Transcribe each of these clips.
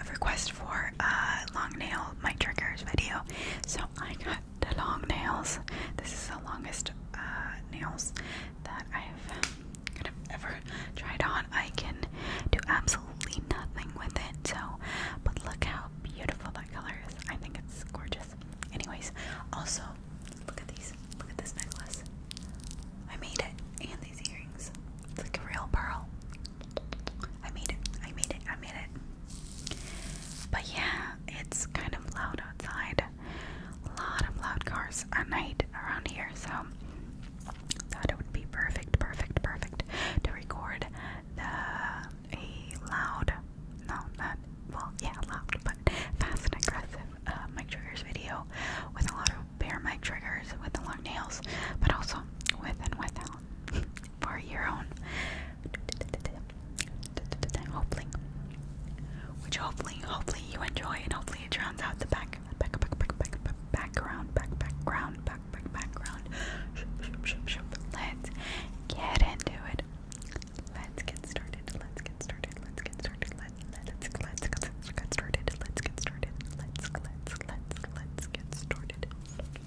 a request for a long nail, my triggers video. So I got the long nails. This is the longest uh, nails that I've ever tried on. I can do absolutely nothing with it. So, but look how beautiful that color is. I think it's gorgeous. Anyways, also look at these. Look at this necklace. I made it, and these earrings. It's like a real pearl. I made it. I made it. I made it. But yeah, it's kind of loud outside. A lot of loud cars at night around here, so thought it would be perfect, perfect, perfect to record the a loud, no, not well, yeah, loud, but fast and aggressive uh, mic triggers video with a lot of bare mic triggers with the long nails, but also with and without for your own hopefully which hopefully hopefully you enjoy and hopefully it drowns out the back back back background background background let's get into it let's get started let's get started let's get started let's let's let's get started let's get started let's let's let's let's get started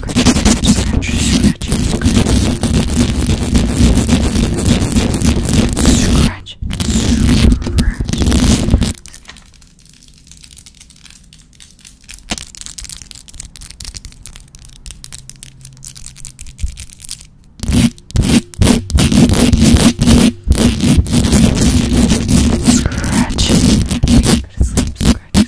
scratch, scratch, scratch, scratch, scratch. Scratch. Go to sleep, scratch.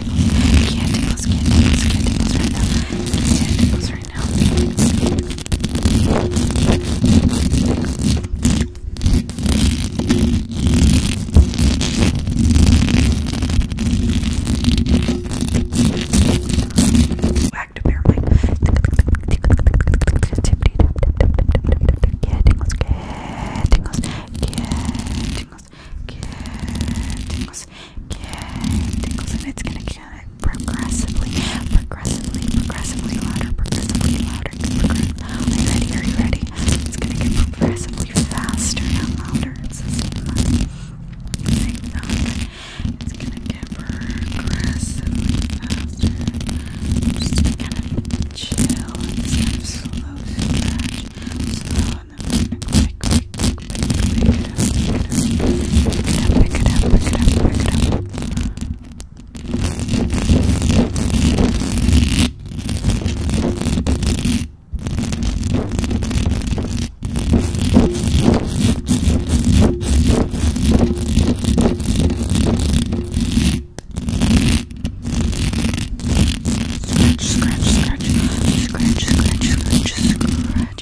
cat tingles, cat tingles, tingles, cat tingles right tingles right tingles, cat tingles, cat tingles, cat tingles. Yeah, it's gonna get progressively, progressively, progressively louder, progressively louder. Are you ready? Are you ready? It's gonna get progressively faster and louder. It's gonna get progressively faster. just kind chill and just kind of slow stretch, slow on them. Quick, quick, quick, quick, pick it up, pick it up, pick it up, pick it up, pick it up. Scratch, scratch, scratch, scratch, scratch, scratch, scratch, scratch,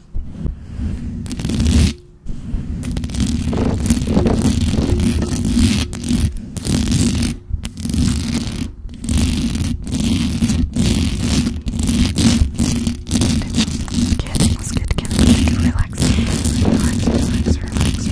Let's get together. Relax. Relax, relax, relax, relax.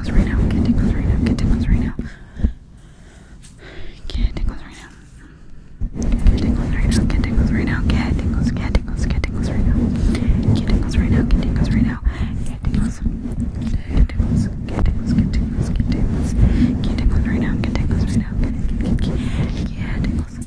tingles right now. Get tingles right now. Get tingles right now. Get tingles right now. Get tingles right now. Get tingles right now. Get tingles. Get tingles. Get tingles right now. Get tingles right now. Get tingles right now. Get tingles. Get tingles. Get tingles. Get tingles. Get tingles. Get tingles right now. Get tingles right now. Get tingles. Get tingles.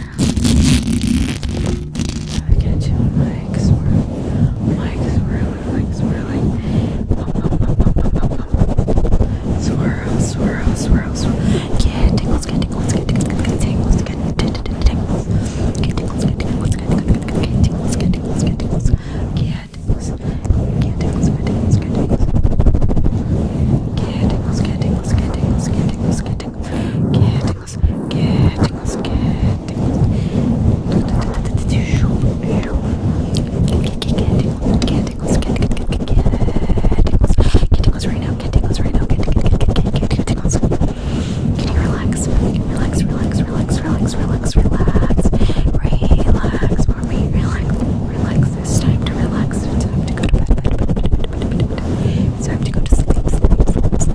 I get you on my swirl, my swirl, my swirling, swirl, swirl, swirl, swirl. Get tingles, get tingles, get tingles, get tingles, get tingles, get tingles, get tingles, get tingles, get tingles, get tingles, get tingles, get tingles, get tingles, get tingles. Get tingles, get tingles, get tingles, get tingles, get tingles, get tingles, tingles, good tingles, good tingles. Get tingles, get tingles right now, get tingles right now, get tingles. Can you relax? Relax, relax, relax, relax, relax, relax. Relax for me, relax, relax. It's time to relax. It's time to go to bed. It's time to go to sleep, sleep, sleep, sleep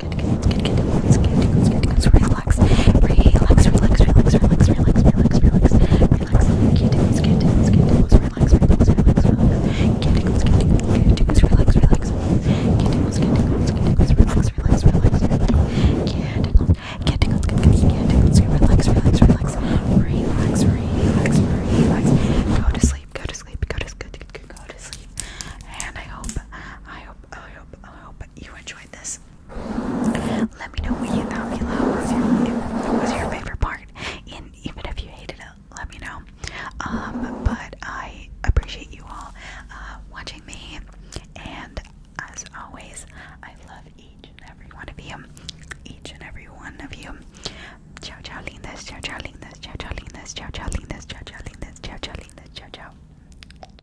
tickles, good tickles, good tickles, good tickles, good tickles, relax, relax, relax, relax, relax, relax, relax, relax, relax, good tickles, good tickles, good tickles, relax, relax, relax, relax, good tickles, good tickles, good tickles, relax, relax, good tickles, good tickles, good tickles, relax, relax, relax, relax, good tickles, good tickles, good tickles, good tickles, relax, relax, relax, relax, relax, relax, go to sleep, go to sleep, go to sleep, go to sleep, and I hope, I hope, I hope, I hope you enjoyed this let me know what you thought below. What was your favorite part? And even if you hated it, let me know. Um, but I appreciate you all uh, watching me. And as always, I love each and every one of you. Each and every one of you. Ciao, ciao, lindas. Ciao, ciao, lindas. Ciao, ciao, lindas. Ciao, ciao, lindas. Ciao, ciao, lindas. Ciao, ciao.